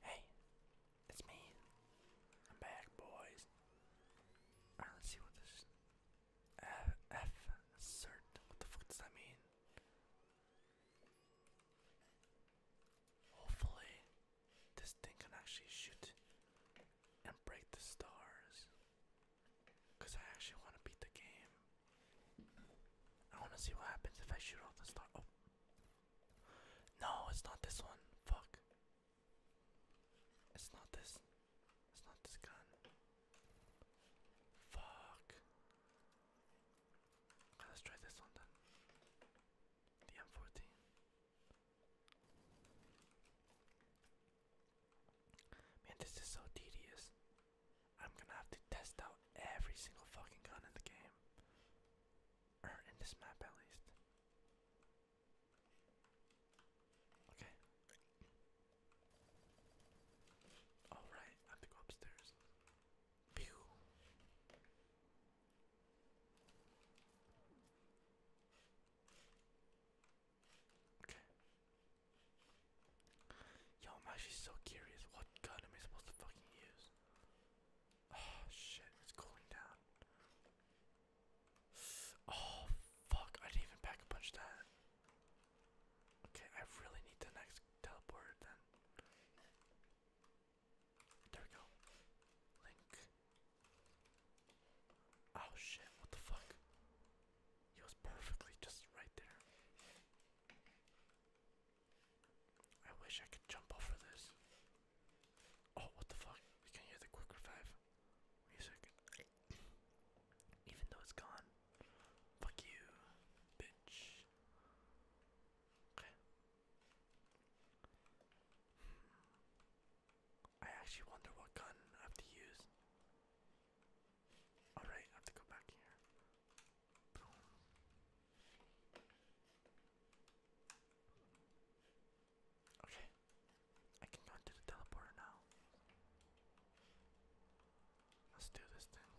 Hey, it's me. I'm back, boys. Alright, let's see what this F, cert. What the fuck does that mean? Hopefully, this thing can actually shoot and break the stars. Because I actually want to beat the game. I want to see what happens if I shoot all the stars. Oh. No, it's not this one. Fuck. It's not this. It's not this gun. Fuck. let's try this one then. The M14. Man, this is so tedious. I'm gonna have to test out every single fucking gun in the game in this map at least. Okay. Alright, I have to go upstairs. Pew. Okay. Yo, I'm actually so curious. What gun am I supposed to fucking use? Oh shit, it's cooling down. Oh fuck, I didn't even pack a punch that. Okay, I really need the next teleport then. There we go. Link. Oh shit, what the fuck? He was perfectly just right there. I wish I could jump off of this. Oh, what the fuck? We can hear the quick revive music. Even though it's gone. Fuck you, bitch. Okay. Hmm. I actually wonder what gun I have to use. Alright, I have to go back here. Okay, I can go into the teleporter now. Let's do this thing.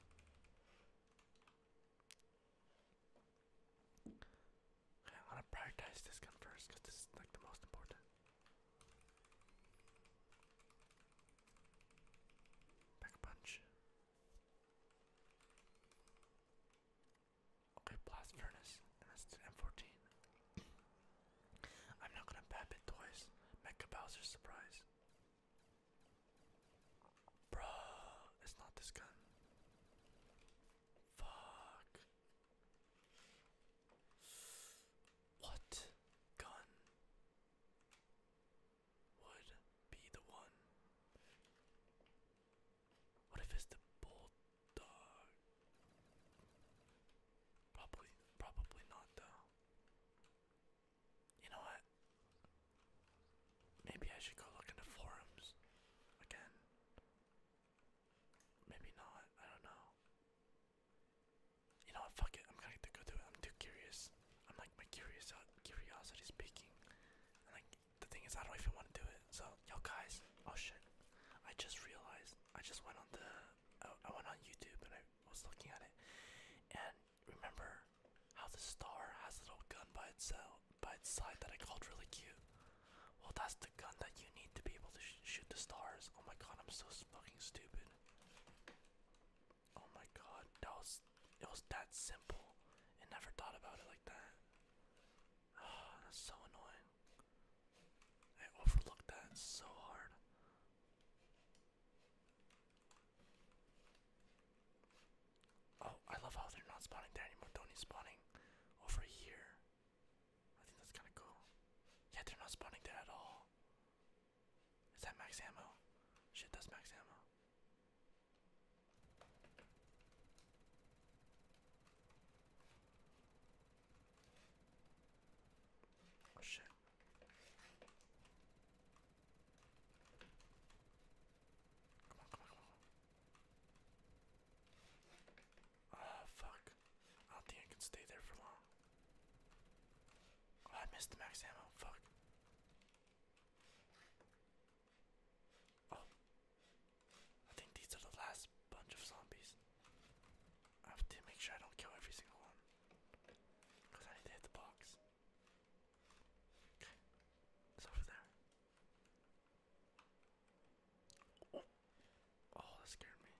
Okay, I want to prioritize this gun first because this is like the most important. Back punch. Okay, blast furnace, and that's the M14. I'm not gonna bap it twice. Mecha Bowser's surprise. Bruh, it's not this gun. Fuck. What gun? would be the one. What if it's the bulldog? Probably, probably not though. You know what? Maybe I should go look into forums again. Maybe not, I don't know. You know what, fuck it, I'm gonna go do it. I'm too curious. I'm like my curious uh, curiosity speaking. like the thing is, I don't even want to do it. So, yo guys, oh shit, I just realized. I just went on the, uh, I, went on YouTube and I was looking at it, and remember how the star has a little gun by itself, by its side that I called really cute. Well, that's the gun that you need to be able to shoot the stars. Oh my god, I'm so fucking stupid. Oh my god, that was it was that simple I never thought about it like that. Ah, that's so annoying. I overlooked that so hard. Oh, I love how they're not spawning there anymore. Tony's spawning over here. I think that's kind of cool. Yeah, they're not spawning there at all. Is that max ammo? Shit, that's max ammo. Oh shit. Come on, come on, come on. Ah, fuck. I don't think I can stay there for long. Oh, I missed the max ammo. Fuck. Oh, I think these are the last bunch of zombies. I have to make sure I don't kill every single one. Because I need to hit the box. Okay, it's over there. Oh, oh that scared me.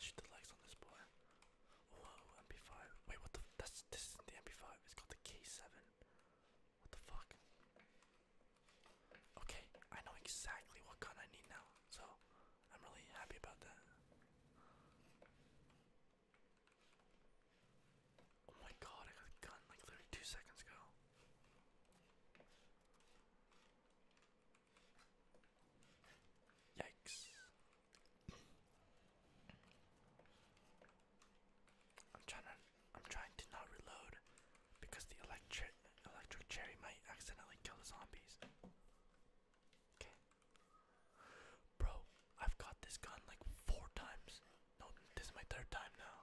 Shoot the legs on this boy. Whoa, MP5. Wait, what the? F that's this isn't the MP5. It's called the K7. What the fuck? Okay, I know exactly what gun I need now, so I'm really happy about that. Oh my god, I got a gun like two seconds ago. Yikes. I'm trying to I'm trying to not reload because the electric electric cherry might accidentally kill the zombies. Okay. Bro, I've got this gun like four times. No, this is my third time now.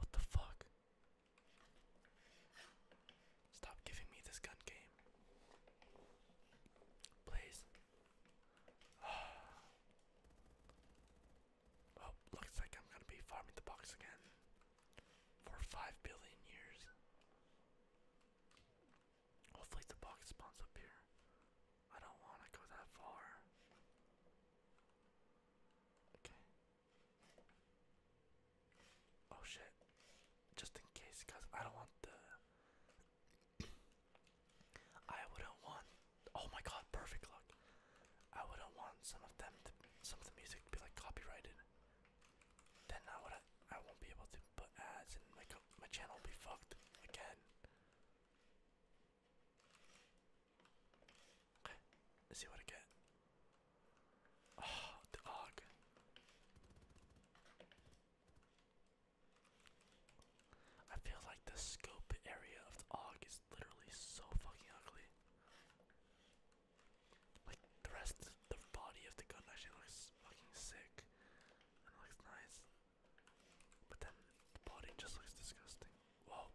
What the fuck? Stop giving me this gun game. Please. Oh, looks like I'm gonna be farming the box again for five billion years. Hopefully the box spawns up here. I don't wanna go that far. Okay. Oh shit. Just in case, cause I don't want the. I wouldn't want. Oh my god! Perfect luck. I wouldn't want some of them, some of the music to be like copyrighted. Then I would, I won't be able to put ads, and like my channel will be fucked again. let's see what I get. Oh, dog. I feel like the scope area of the og is literally so fucking ugly. Like the rest of the body of the gun actually looks fucking sick and looks nice. But then the body just looks disgusting. Whoa.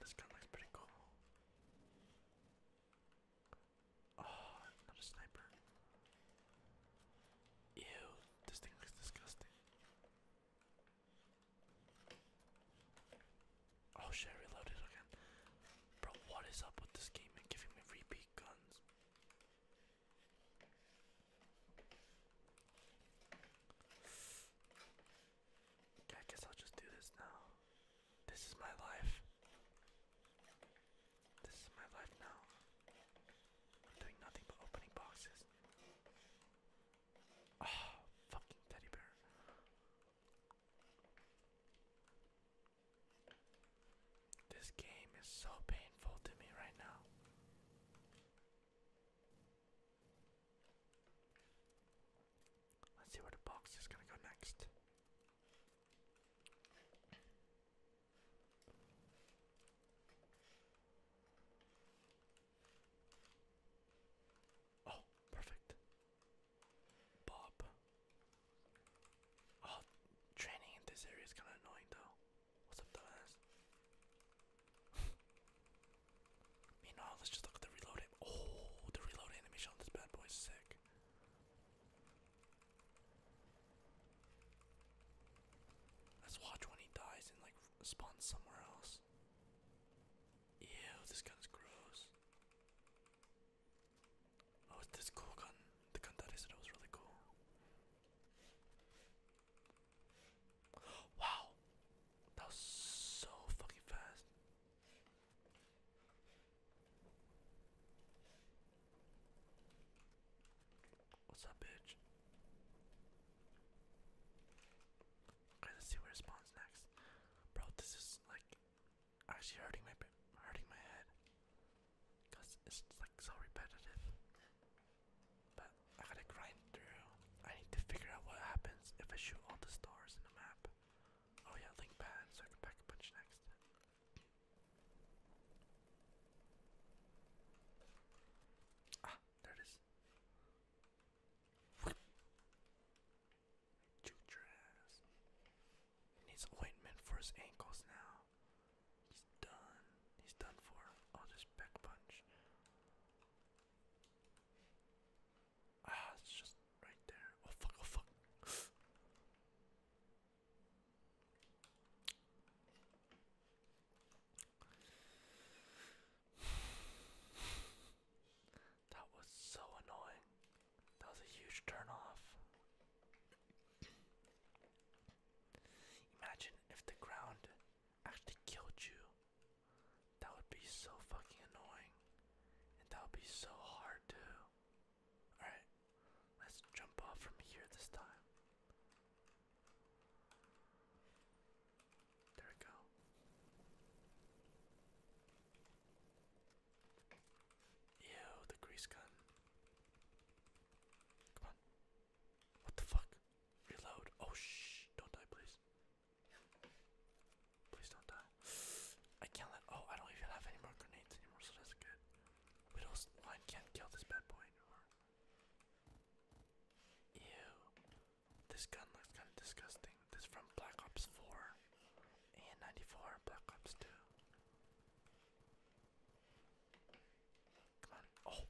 This gun looks pretty cool. Oh, not a sniper. Ew, this thing looks disgusting. Oh shit, reloaded again. Bro, what is up with this game and giving me repeat guns? Okay, I guess I'll just do this now. This is my life. This is my life now. I'm doing nothing but opening boxes. Oh, fucking teddy bear. This game is so painful to me right now. Let's see where the box is gonna go next. Oh, perfect. Bob. Oh, training in this area is kind of annoying though. What's up, dumbass? Meanwhile, let's just look at the reload. Oh, the reload animation on this bad boy is sick. Let's watch when he dies and like spawns somewhere else. Ew, this gun is gross. Oh, this cool gun. The gun that I said was really cool. Wow! That was so fucking fast. What's up, bitch? Okay, let's see where it spawns next. Bro, this is like actually hurting my hurting my head. Cause it's like so repetitive. But I gotta grind through. I need to figure out what happens if I shoot all the stars in the map. Oh yeah, link pad, so I can pack a bunch next. Ah, there it is. Shoot your ass. He needs ointment for his ankles now. He's done. He's done for. Oh, I'll just back punch. Ah, it's just right there. Oh fuck, oh fuck. That was so annoying. That was a huge turn off. Imagine if the ground actually killed you. That would be so fucking annoying. And that would be so hard to Alright, let's jump off from here this time. There we go. Ew, the grease gun. Come on. What the fuck? Reload. Oh shh, don't die please. Please don't die. I can't let. Oh, I don't even have any more grenades anymore, so that's good. Widow's can't kill this bad boy anymore. Ew. This gun looks kind of disgusting. This from Black Ops 4 and 94, Black Ops 2. Come on. Oh,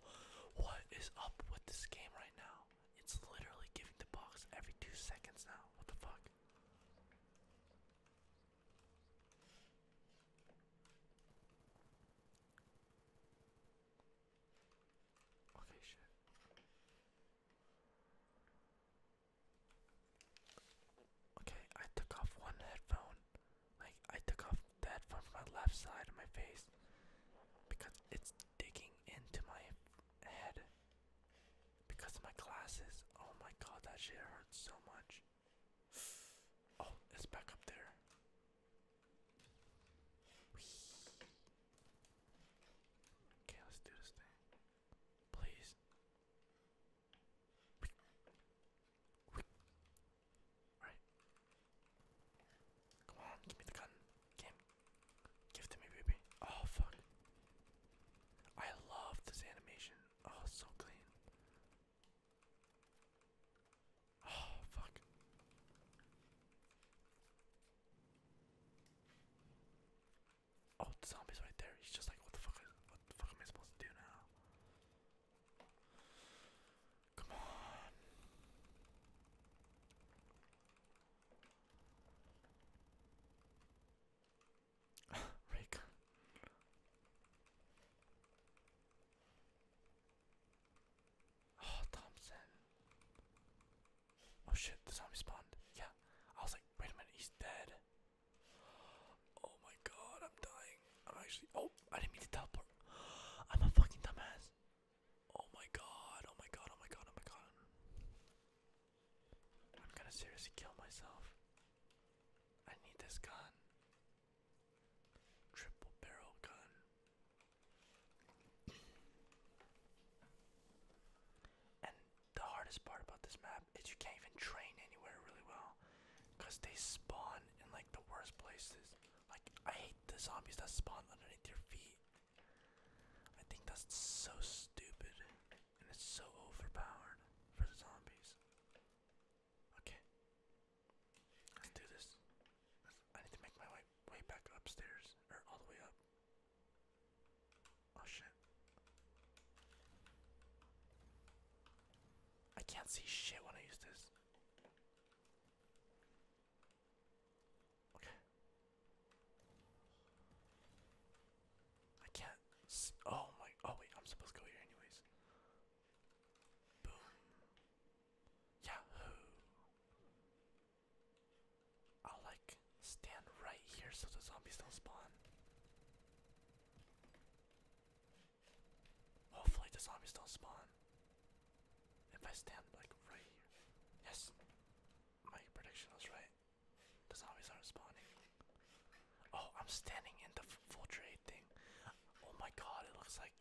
what is up with this game right now? It's literally giving the box every two seconds now. What the fuck? Okay, Okay, I took off one headphone. Like, I took off the headphone from my left side of my face because it's digging into my head because of my glasses. Oh my god, that shit hurts so much. Oh, it's back up there. Okay, let's do this thing. Please. Alright. Come on, give me the gun. Give it to me, baby. Oh, fuck. I love this animation. Oh, so clean. Oh, fuck. Oh, the zombie's right there. He's just like, what the fuck? what the fuck am I supposed to do now? Come on. Raycon. Oh, Thompson. Oh shit, the zombie spawned. Yeah. I was like, wait a minute, he's dead. Oh my god, I'm dying. I'm actually. Oh, I didn't mean to teleport. I'm a fucking dumbass. Oh my god, oh my god, oh my god, oh my god. I'm gonna seriously kill myself. I need this gun. Triple barrel gun. and the hardest part about this map is you can't even train anywhere really well. Because they spawn in like the worst places. Like, I hate the zombies that spawn underneath your feet. I think that's so stupid. And it's so overpowered for the zombies. Okay. Let's do this. I need to make my way, way back upstairs, or all the way up. Oh shit. I can't see shit when I use this. Okay. I can't. oh my. Oh wait, I'm supposed to go here anyways. Boom. Yahoo. I'll like stand right here so the zombies don't spawn. Hopefully the zombies don't spawn. If I stand like right here. Yes. My prediction was right. The zombies aren't spawning. Oh, I'm standing in the full trade thing. Oh my god, it looks like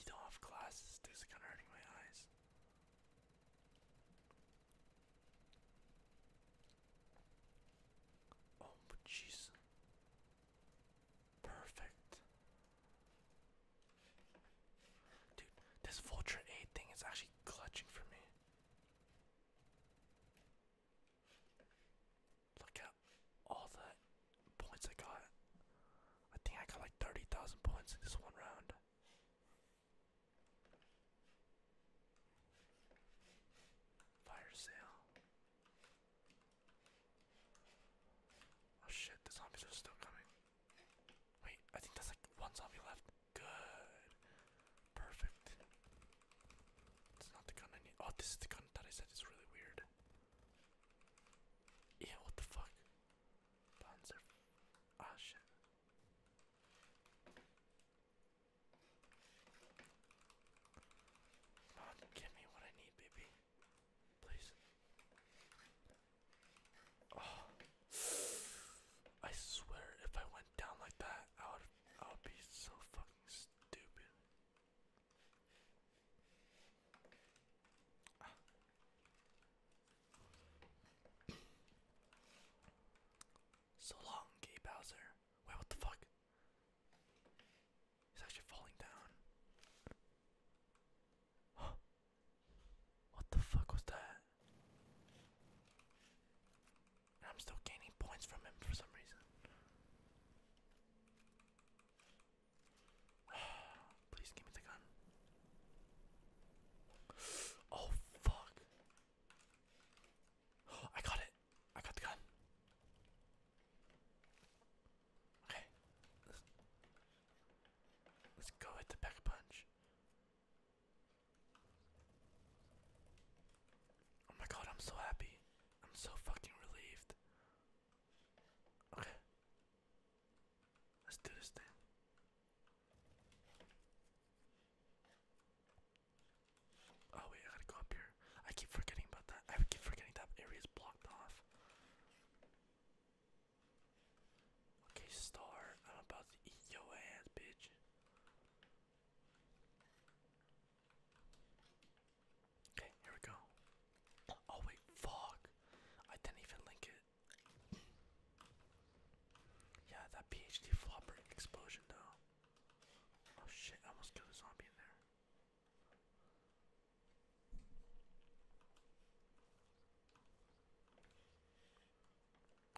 you don't have glasses. This is kind of hurting my eyes. Oh, but Perfect. Dude, this Vulture 8 thing is actually clutching for me. Look at all the points I got. I think I got like 30,000 points in this one round. Fire sale. Oh shit, the zombies are still coming. Wait, I think that's like one zombie left. Good. Perfect. It's not the gun I need. Oh, this is the gun that I said is really weird. Yeah, what the fuck? Panzer. Ah, shit. Come give me what I need, baby. Please. Oh. I swear, if I went down like that, I would I'll be so fucking stupid. so long, Gay Bowser. Wait, what the fuck? He's actually falling down. What the fuck was that? I'm still gaining points from him for some reason. Please give me the gun. Oh fuck. I got it. I got the gun. Okay. Let's, go hit the back punch. Oh my god, I'm so happy. I'm so fucking relieved. Okay. Let's do this thing. Oh wait, I gotta go up here. I keep forgetting about that. I keep forgetting that area is blocked off. Okay, star. I'm about to eat your ass, bitch. Okay, here we go. Oh wait, fuck! I didn't even link it. Yeah, that PhD flopper explosion though. Oh shit, I almost killed a zombie in there.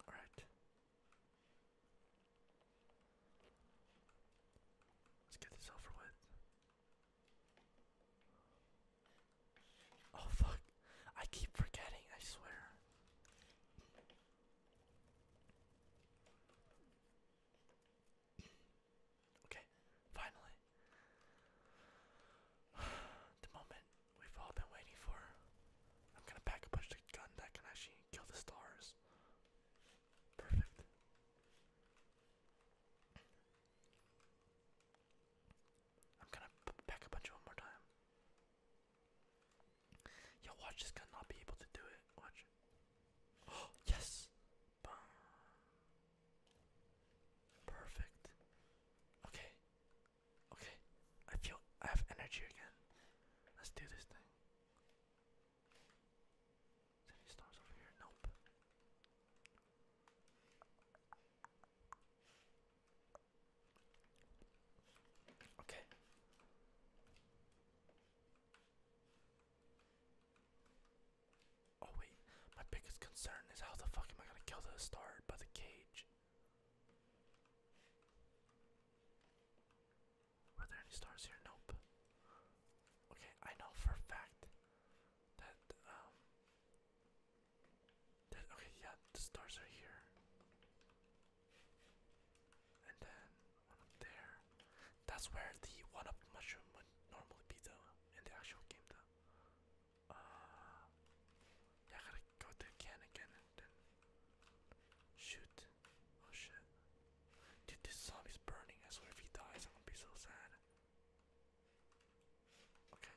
Alright, Let's get this over with. Oh fuck. I keep forgetting, I swear. Okay, finally. the moment we've all been waiting for. I'm gonna pack a bunch of gun that can actually kill the stars. Perfect. I'm gonna pack a bunch one more time. Yo, watch this guy not be able to do it. Watch. Oh yes. Boom. Perfect. Okay. Okay. I feel I have energy again. Let's do this thing. Is there any stars over here? Nope. Okay. Oh wait, my biggest concern is how the fuck am I gonna kill the star by the cage? Were there any stars here? Nope. Okay, I know for a fact that um that okay, yeah, the stars are here. And then there. That's where the one up mushroom would normally be though in the actual game though. Uh I gotta go to the can again and then shoot Oh shit. Dude, this zombie's burning. I swear if he dies, I'm gonna be so sad. Okay.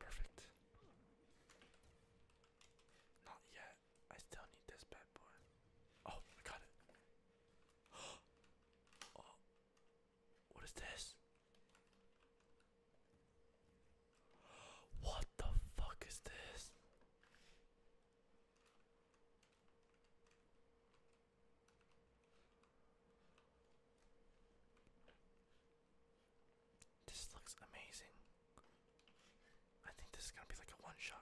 Perfect. Not yet. I still need this bad boy. Oh, I got it. oh. What is this? What the fuck is this? This looks amazing. I think this is gonna be like a one shot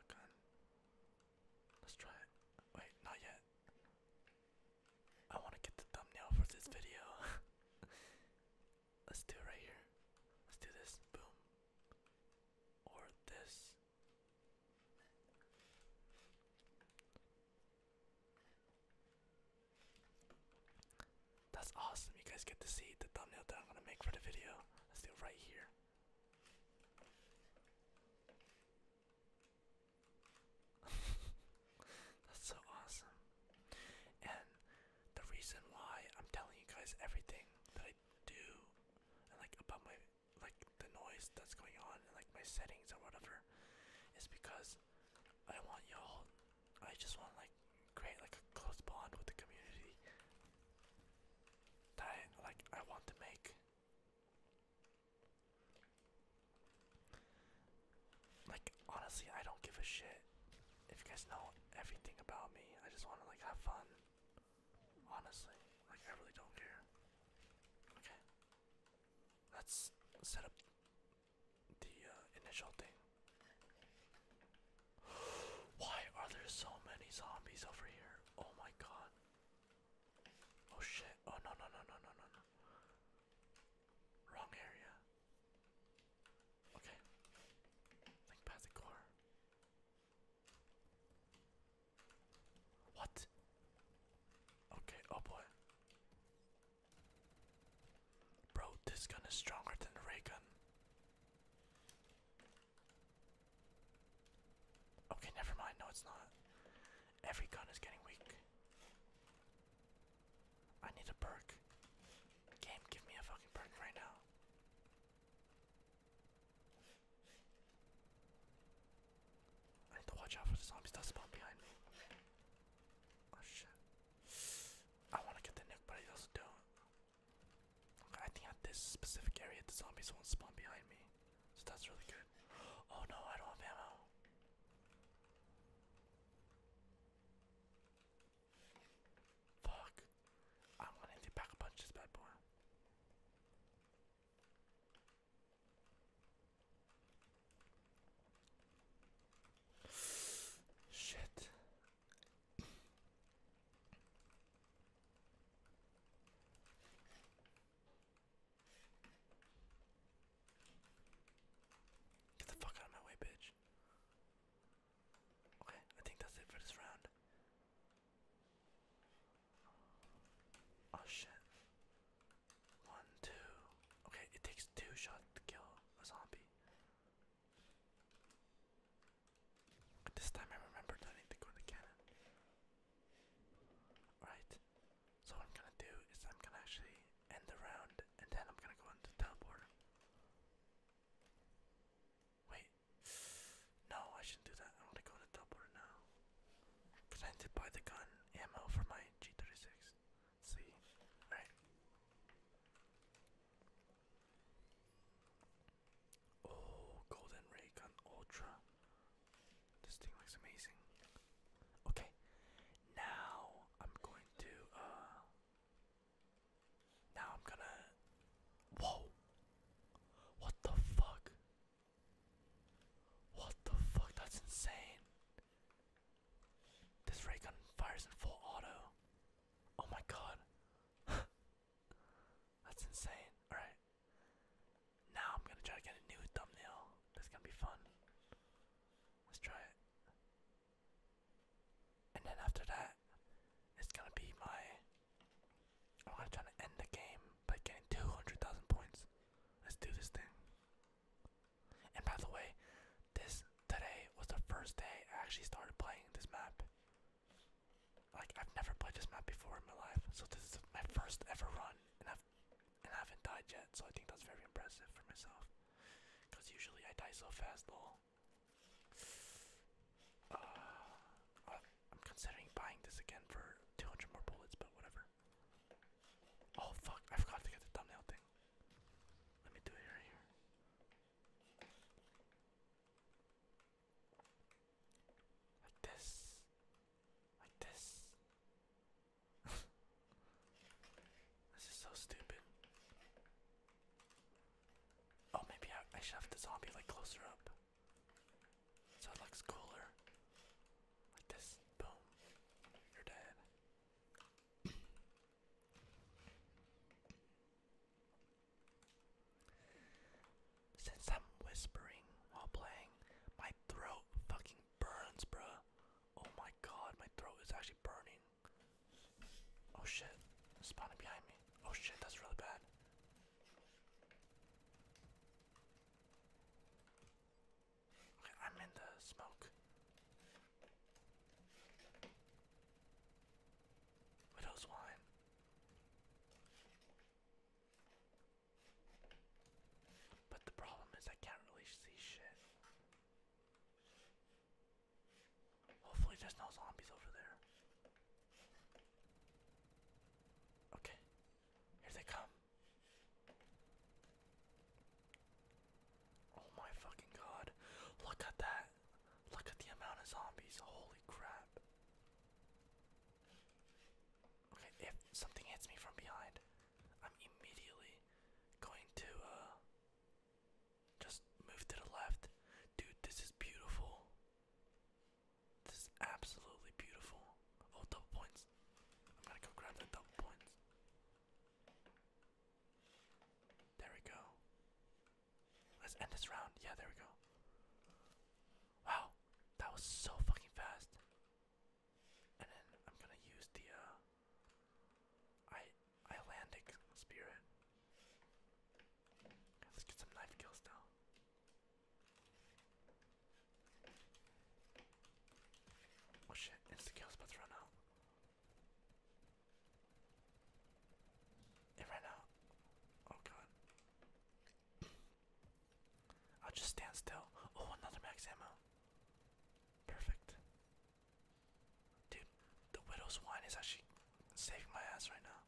Let's try it. Wait, not yet. I want to get the thumbnail for this video. Let's do it right here. Let's do this. Boom. Or this. That's awesome. You guys get to see the thumbnail that I'm gonna make for the video. Let's do it right here. That's so awesome. And the reason why I'm telling you guys everything that I do and like about my like the noise that's going on and like my settings or whatever is because I want y'all I just want like create like a close bond with the community that like I want to make like honestly I don't give a shit if you guys know everything about me. I just wanna like have fun. Honestly. Like I really don't care. Okay. Let's set up the uh, initial thing. Why are there so many zombies over here? Oh my god. Oh shit. Oh no no no no no no no. Wrong area. Okay. Link past What? Okay, oh boy. Bro, this gun is stronger than the ray gun. Okay, never mind. No, it's not. Every gun is getting weak. I need a perk. Game, give me a fucking perk right now. I need to watch out for the zombies that spawn behind me. Oh shit. I wanna get the nuke, but I also don't. I think at this specific area the zombies won't spawn behind me. So that's really good. Oh no, I don't have ammo. Fuck. I'm gonna have to pack a punch this bad boy. Shit. Get the fuck out of my way, bitch. Okay, I think that's it for this round. Oh shit. One, two. Okay, it takes two shots to kill a zombie. this time I remembered I need to go to cannon. Alright, so what I'm gonna do is I'm gonna actually end the round and then I'm gonna go into the teleporter. Wait. No, I shouldn't do that. I want to go to Doppler now. Presented by the gun ammo for my G36. See? Alright. Oh, Golden Ray Gun Ultra. This thing looks amazing. Okay, now I'm going to uh, now I'm gonna. Whoa! What the fuck? What the fuck? That's insane. This ray gun fires in full auto. Oh my god. That's insane. Alright. Now I'm gonna try to get a new thumbnail. That's gonna be fun. Let's try it. And then after that, it's gonna be my. I'm gonna try to end the game by getting 200,000 points. Let's do this thing. And by the way, this today was the first day I actually started playing this map. Like I've never played this map before in my life, so this is my first ever run, and I've not died yet. So I think that's very impressive for myself. Cause usually I die so fast, though. Uh, I'm considering buying this again for 200 more bullets, but whatever. Oh fuck, I forgot to get the thumbnail thing. Let me do it right here. Like this. Like this. this is so stupid. Oh, maybe I, I should have the zombie like closer up. So it looks cooler. Like this. Boom. You're dead. Since I'm whispering while playing, my throat fucking burns, bruh. Oh my god, my throat is actually burning. Oh shit, spawning behind me. Oh shit, that's really bad. Okay, I'm in the smoke. Widow's wine. But the problem is I can't really see shit. Hopefully, there's no zombies over there. Okay, here they come. Oh my fucking god. Look at that. Look at the amount of zombies. Holy crap. Okay, if something hits me from behind, I'm immediately going to uh just move to the left. Dude, this is beautiful. This is absolutely beautiful. Oh, double points. I'm gonna go grab that double points. There we go. Let's end this round. Yeah, there we go. Wow, that was so fucking fast. And then I'm gonna use the uh, Islandic spirit. Let's get some knife kills now. Oh shit, insta kill's about run out. It ran out. Oh god. I'll just stand still. Oh, another max ammo. Perfect. Dude, the widow's wine is actually saving my ass right now.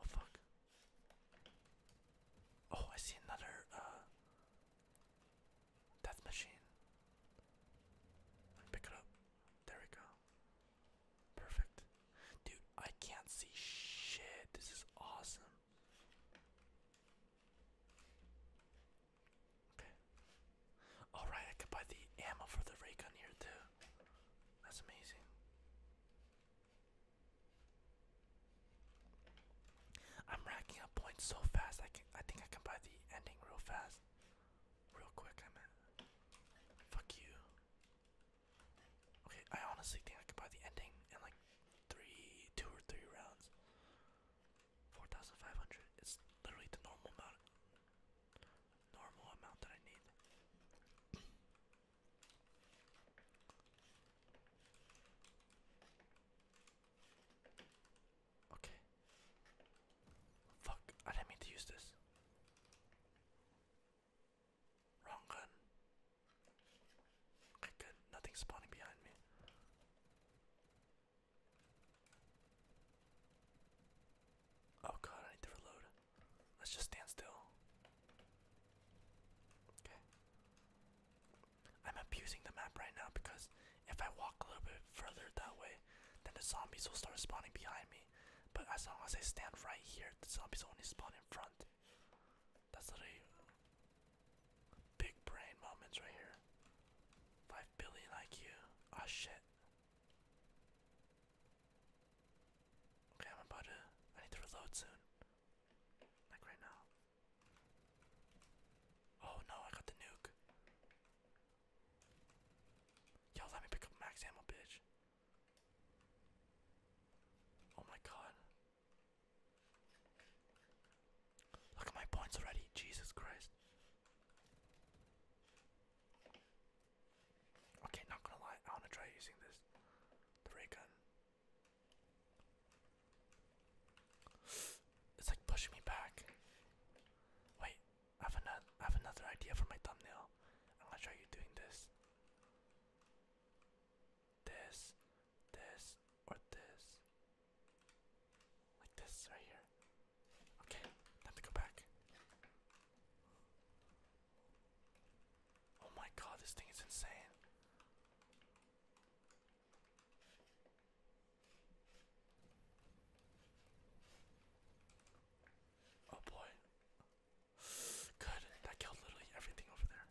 Oh fuck. Oh, I see another uh death machine. Pick it up. There we go. Perfect. Dude, I can't see shit. This is awesome. Okay. Alright, I can buy the ammo for the ray gun here too. That's amazing. I'm racking up points so fast I can I think I can buy the ending real fast. Real quick I mean. Fuck you. Okay, I honestly think I can buy the ending in like three two or three rounds. 4,500. It's literally the normal amount, normal amount that I need. okay. Fuck! I didn't mean to use this. Wrong gun. Okay, good. spawning behind me. Oh god, I need to reload. Let's just stand still. Okay. I'm abusing the map right now because if I walk a little bit further that way, then the zombies will start spawning behind me. But as long as I stand right here, the zombies only spawn in front. That's literally Big brain moments right here. 5 billion IQ. Ah, shit. Okay, I'm about to. I need to reload soon. Like right now. Oh no, I got the nuke. Yo, let me pick up max ammo, bitch. Oh my god. Look at my points already. Jesus Christ. Okay, not gonna lie, I wanna try using this. The ray gun. It's like pushing me back. Wait, I have another idea for my thumbnail. I'm gonna try you doing this. This, this, or this. Like this right here. Okay, time to go back. Oh my god, this thing is insane. Oh boy. Good, that killed literally everything over there.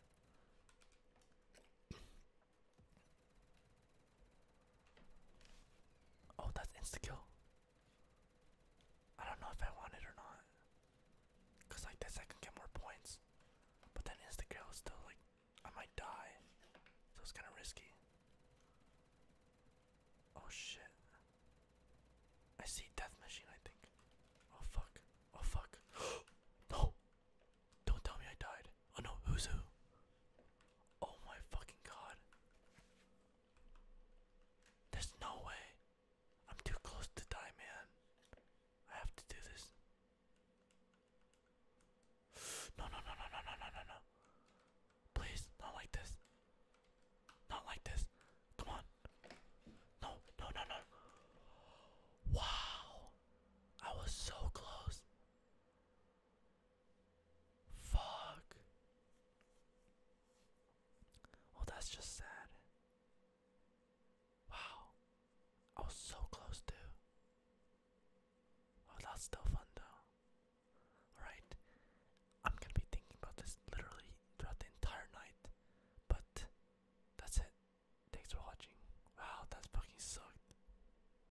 Oh, that's insta I don't know if I want it or not. Cause like this I can get more points. But then insta is still like I might die. So it's kinda risky. Oh shit. I see death machine I think. Oh fuck. Oh fuck. no! Don't tell me I died. Oh no, who's who? Oh my fucking god. There's no way. I'm too close to die, man. I have to do this. no, no, no, no, no, no, no, no. Please, not like this. Not like this. Come on. No, no, no, no. Wow. I was so close. Fuck. Well, oh, that's just sad. Wow. I was so close to. Oh, that's still fun though. Alright. I'm gonna be thinking about this literally throughout the entire night. But that's it. Thanks for watching. Wow, that fucking sucked.